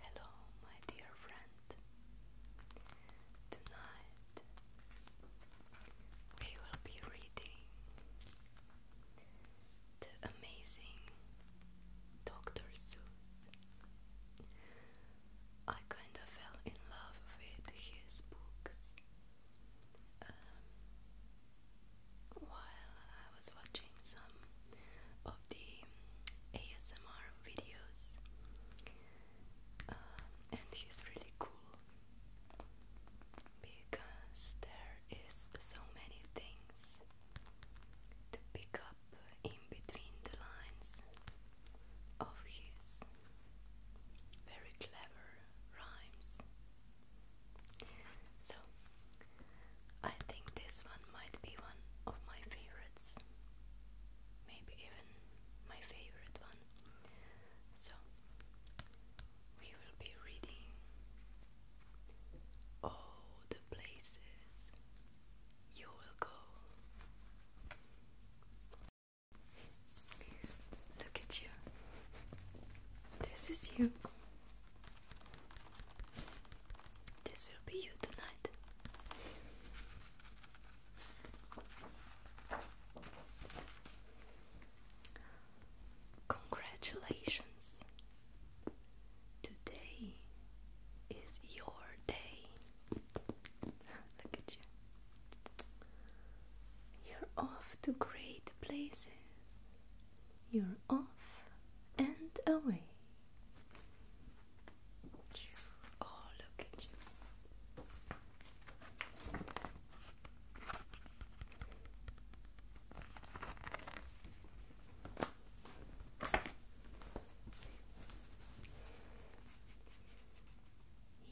Hello, my dear friend. Tonight we will be reading The Amazing Dr. Seuss. I kind of fell in love with his books um, while I was watching some of the ASMR videos, um, and he's really cool because there is so many things to pick up in between the lines of his very clever rhymes. So I think this one might be one of my favorites. Maybe even my favorite one. So, we will be reading all the places you will go. Look at you. This is you. This will be you tonight. Congratulations. Today is your day. Look at you. You're off to great places. You're off and away. Oh, look at you.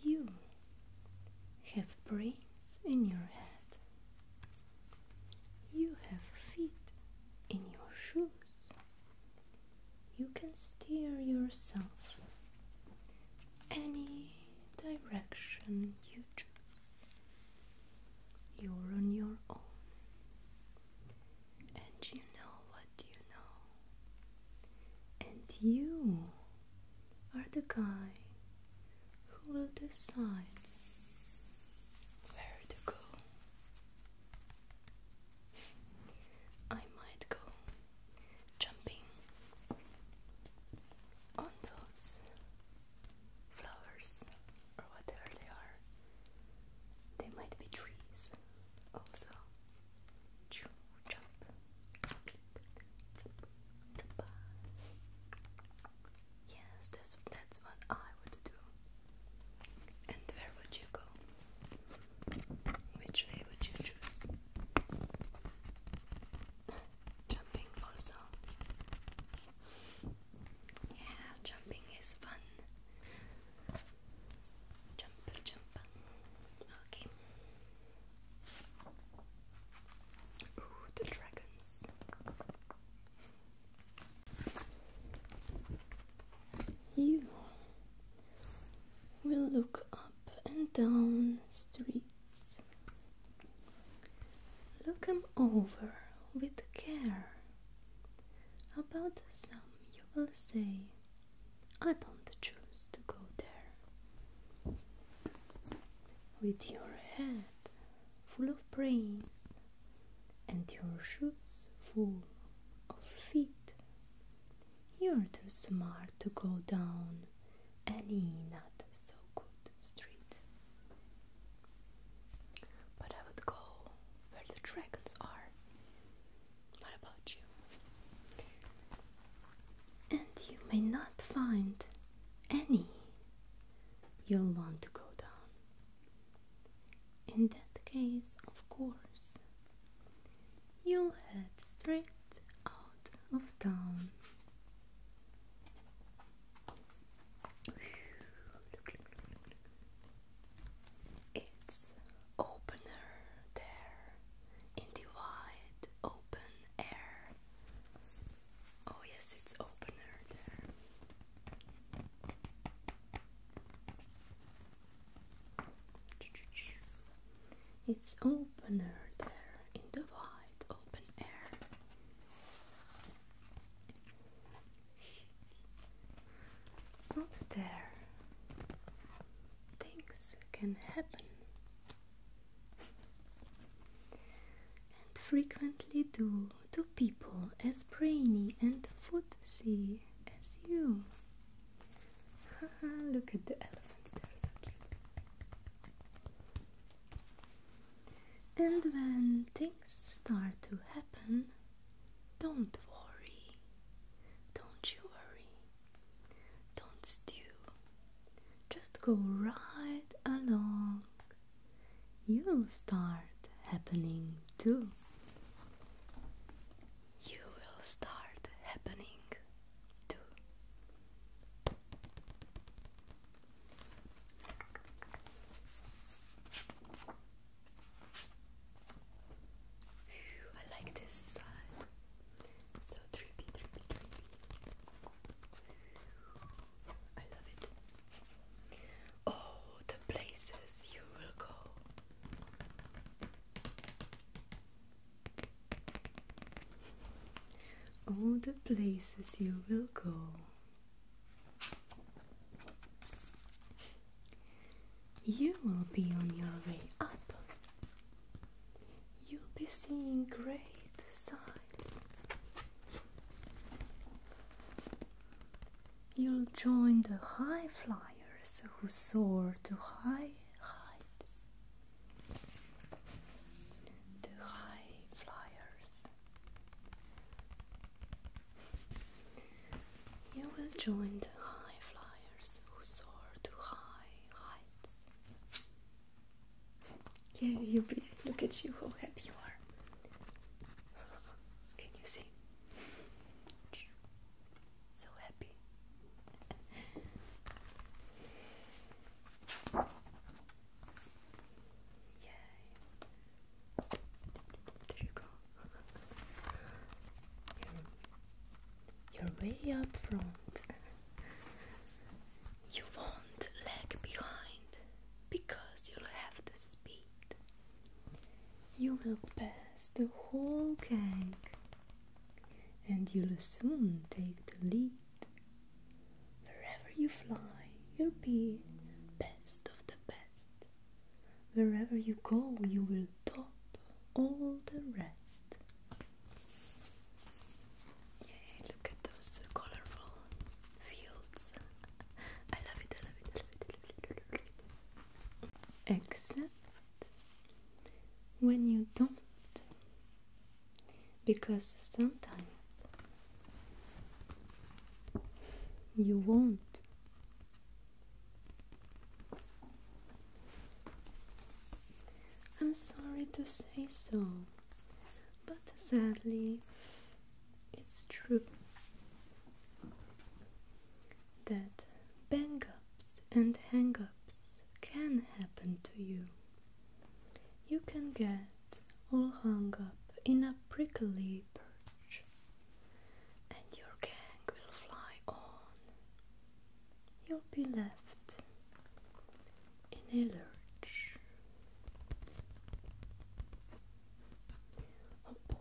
You have brains in your head. You have feet in your shoes. You can steer yourself any direction you choose. You're on your own, and you know what you know, and you are the guy who will decide where to go I might go jumping on those flowers or whatever they are. They might be trees also. Jump. Jump. Jump. Jump. Yes, that's that's what I and where would you go? Which way would you choose? jumping also. Yeah, jumping is fun. Jump, jump. Okay. Ooh, the dragons. You will look up and down streets. Look 'em over with care. About some, you will say, I don't choose to go there. With your head full of brains, and your shoes full of feet. You're too smart to go down any not so good street. But I would go where the dragons are. What about you? And you may not find any you'll want to go down. In that case, of course, you'll head straight out of town. It's opener there in the wide open air. Oh, yes, it's opener there. It's opener there in the wide open air. Not there. Things can happen. And frequently do to people as brainy and footsie as you. Look at the elephants, they're so cute. And when things start to happen, don't worry. Don't you worry. Don't stew. Just go right along. You'll start happening too you will start happening too. I like this side. So trippy, trippy, trippy. I love it all the places you will go. All the places you will go. You will be on your way up. You'll be seeing great sights. You'll join the high flyers who soar to high heights. The high flyers. You will join the high flyers who soar to high heights. Yeah, you will be. look at you, how happy you are. Can you see? So happy. Yay. There you go. you're way up front. You won't lag behind because you'll have the speed. You will pass the whole gang, and you'll soon take the lead. Wherever you fly, you'll be best of the best. Wherever you go, you will top all the rest. Yay, look at those colorful fields. I love it, I love it, I love it, I love it, I love it. Except when you don't, because sometimes you won't. I'm sorry to say so, but sadly, it's true that bang ups and hang ups can happen to you. You can get all hung up in a prickly perch and your gang will fly on. You'll be left in a lurch. Oh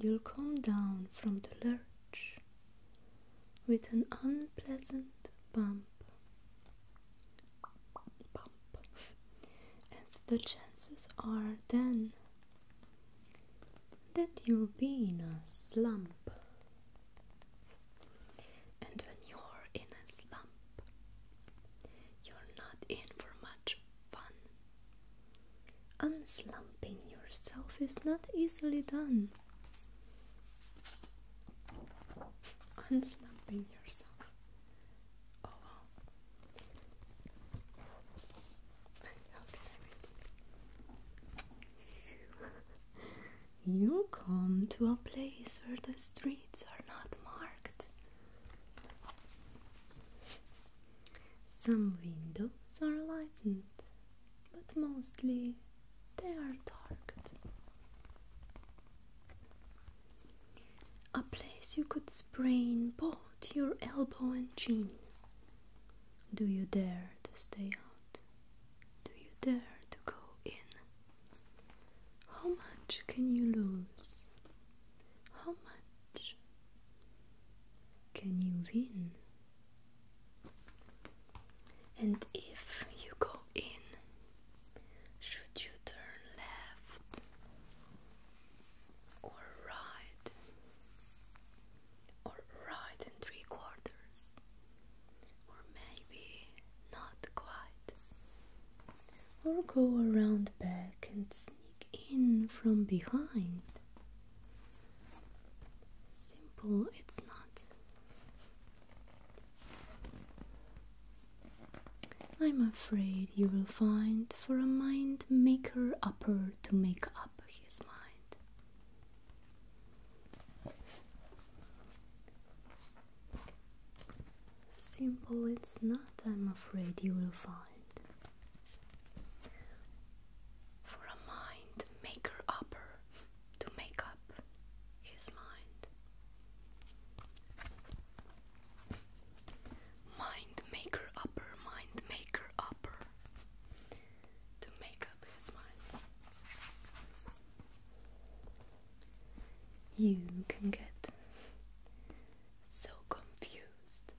You'll come down from the lurch with an unpleasant bump. Bump. and the chances are then that you'll be in a slump. And when you're in a slump, you're not in for much fun. Unslumping yourself is not easily done. Unslumping yourself. Oh you come to a place where the streets are not marked. Some windows are lightened, but mostly they are darked. A place you could sprain both your elbow and chin. Do you dare to stay out? Do you dare to go in? How much can you lose? How much can you win? And if you go in, should you turn left or right? or right and three quarters, or maybe not quite, or go around back and sneak in from behind. Simple, it's not. I'm afraid you will find for a mind maker upper to make up. Simple it's not, I'm afraid you will find. For a mind maker upper to make up his mind. Mind maker upper, mind maker upper to make up his mind. You can get so confused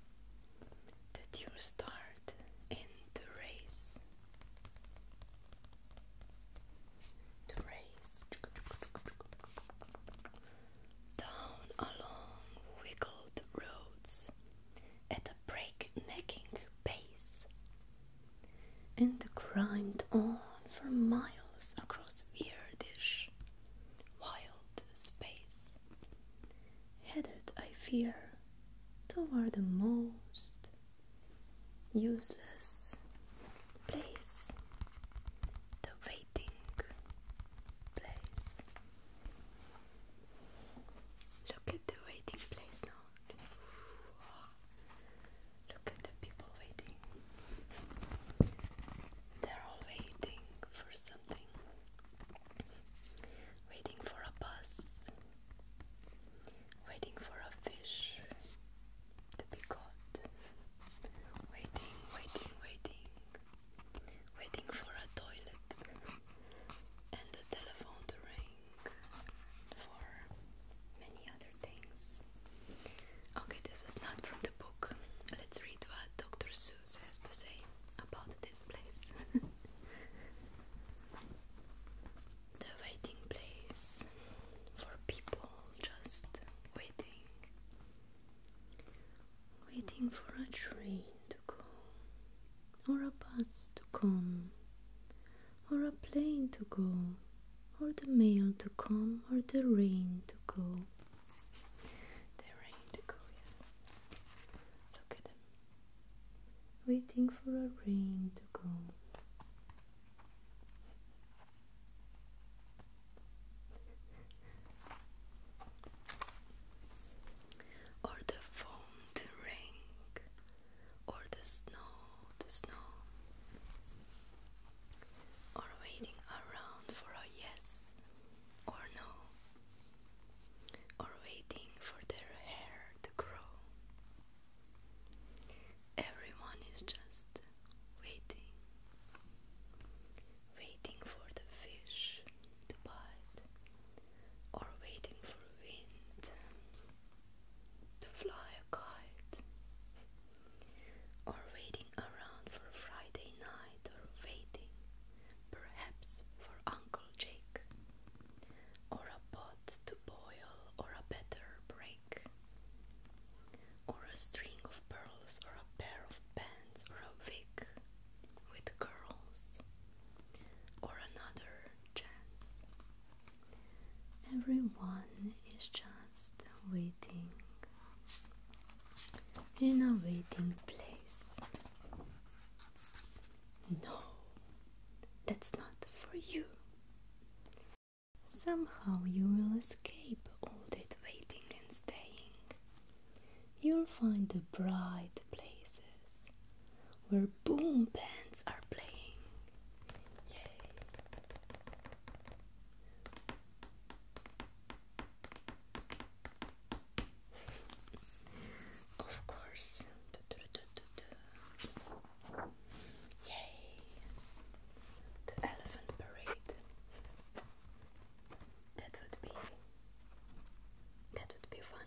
that you start in the race. The race down along wiggled roads at a breaknecking pace and grind on for miles across weirdish, wild space, headed, I fear, toward the most useless place, the waiting place. Look at the waiting place now. Look at the people waiting. They're all waiting for something. Waiting for a bus. Waiting for a fish to be caught. Waiting, waiting, waiting. Waiting for a toilet and the telephone to ring for many other things. Okay, this was not from the book. Let's read what Dr. Seuss has to say about this place. the waiting place for people just waiting. Waiting for a train to come, or a bus to come, or a plane to go, or the mail to come, or the rain to go. The rain to go, yes. Look at them, waiting for a rain to go. Or the phone the rain or the snow, the snow, or waiting around for a yes or no, or waiting for their hair to grow. Everyone is just waiting, waiting for the fish but or waiting for wind to fly a kite or waiting around for Friday night or waiting perhaps for Uncle Jake or a pot to boil or a better break or a string of pearls or a pair of pants or a wig with curls or another chance. Everyone is just waiting in a waiting place. No, that's not for you. Somehow you will escape all that waiting and staying. You'll find a bride places where boom bands are playing. Yay! of course. Yay! The elephant parade. That would be that would be fun.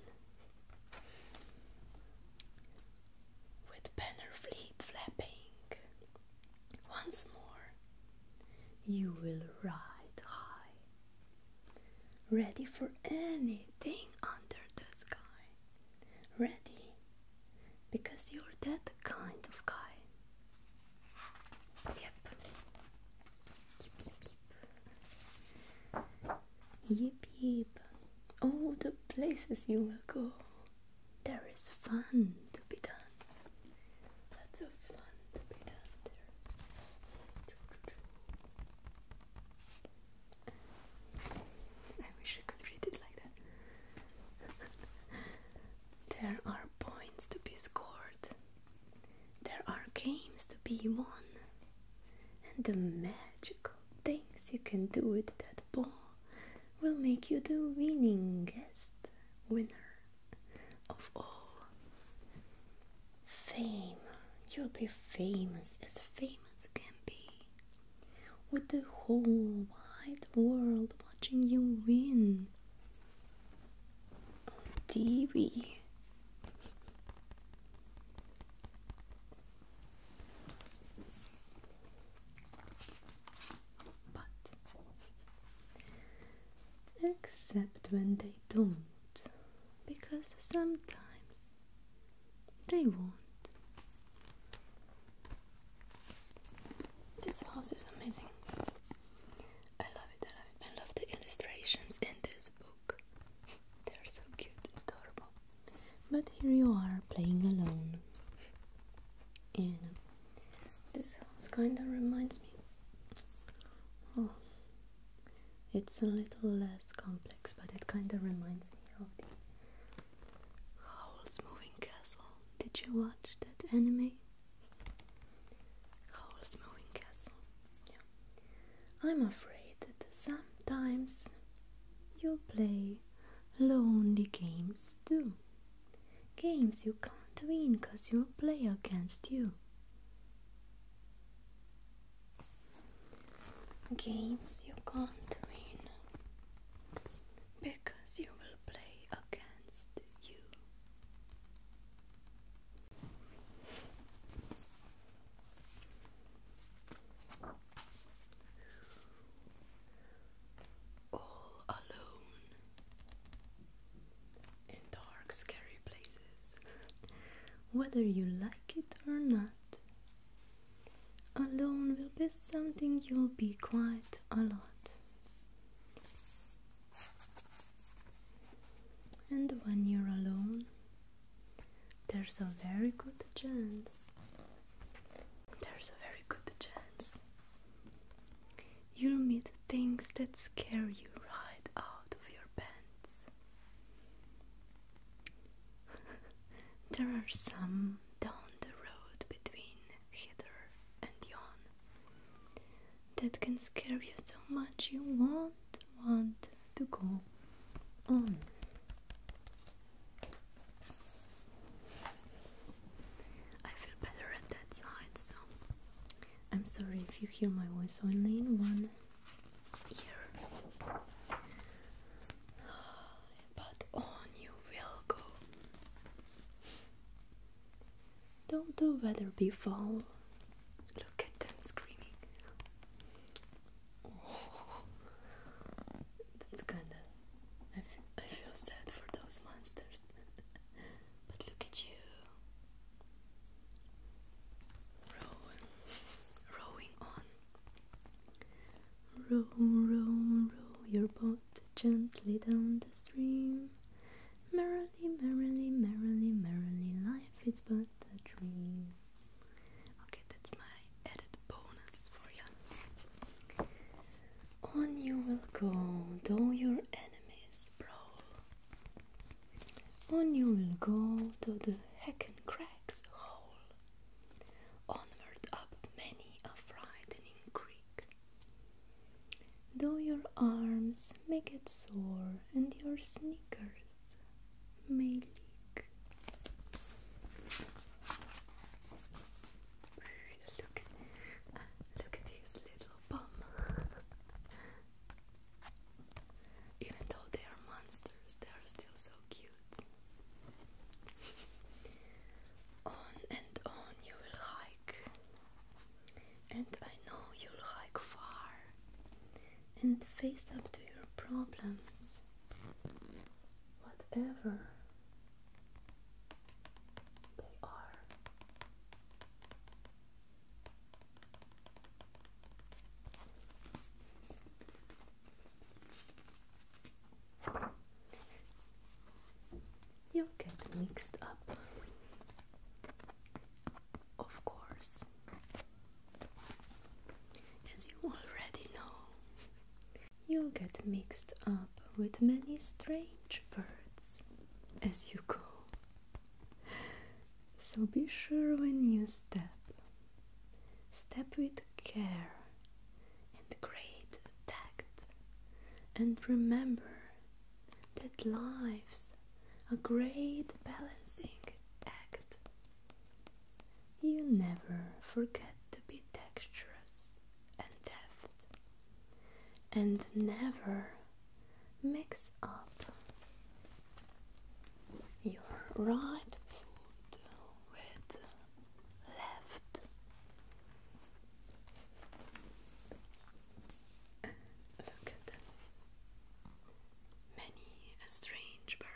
With banner flapping, once more you will ride high, ready for anything under the sky. Ready because you're that kind of guy. yep. Yep, yep. All the places you will go. There is fun to be done. Lots of fun to be done there. I wish I could read it like that. there are points to be scored. There are games to be won. And the magical things you can do with that ball will make you the winningest winner of all. Fame. You'll be famous as famous can be. With the whole wide world watching you win on TV. But except when they don't, because sometimes they won't. This house is amazing. I love it, I love it. I love the illustrations in this book. They're so cute, adorable. But here you are playing alone. And this house kind of reminds me. Oh, it's a little less complex, but it kind of reminds me of the Howl's Moving Castle. Did you watch that anime? Howl's Moving Castle. Yeah. I'm afraid that sometimes you play lonely games too. Games you can't win because you will play against you. Games you can't win because you will play against you all alone in dark, scary places, whether you like it or not. Alone will be something you'll be quite a lot. And when you're alone, there's a very good chance. There's a very good chance. You'll meet things that scare you right out of your pants. there are some down the road between hither and yon that can scare you so much you won't want to go on. I feel better at that side, so I'm sorry if you hear my voice only in one ear. But on you will go. Don't do weather be foul? Look at them screaming that's kinda. I feel, I feel sad for those monsters. but look at you. Rowing, rowing on. Row, row, row your boat gently down the stream. Merrily, merrily, merrily, merrily, life is but a dream. On you will go, though your enemies brawl. On you will go, to the hecken cracks whole. Onward up many a frightening creek. Though your arms may get sore and your sneakers may Look, uh, look at his little bum. Even though they are monsters, they are still so cute. on and on you will hike, and I know you'll hike far and face up to your problems whatever they are. You'll get mixed up, of course. As you already know, you'll get mixed up with many strange birds as you go. So be sure when you step, step with care and great tact, and remember that life's a great balancing act you never forget to be dexterous and deft, and never mix up your right foot with left. Look at them. Many a strange bird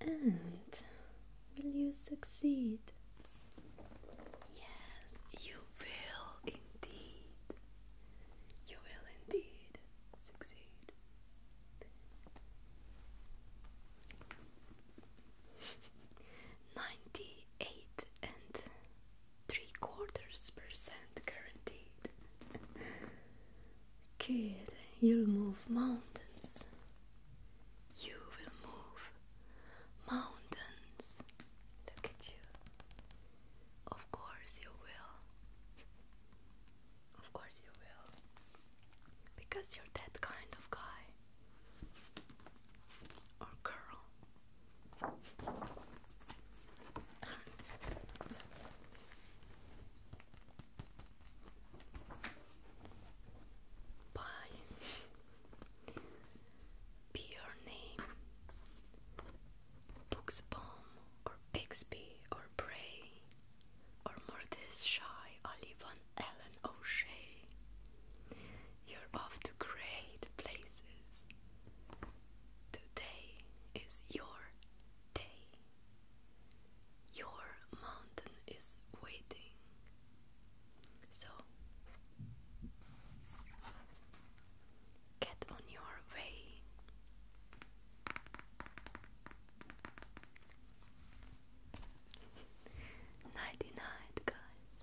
and will you succeed? Yes, you will indeed. You will indeed succeed. Ninety eight and three quarters percent guaranteed. Kid, you'll move mountains. You will move mountains. Look at you. Of course, you will. Of course, you will. Because you're that kind of guy or girl. So. Be your name. Books or Bixby or Bray or Mortis Shy Olivan Ellen O'Shea. You're off to great places. Today is your day. Your mountain is waiting. So get on your way. Nighty night, guys.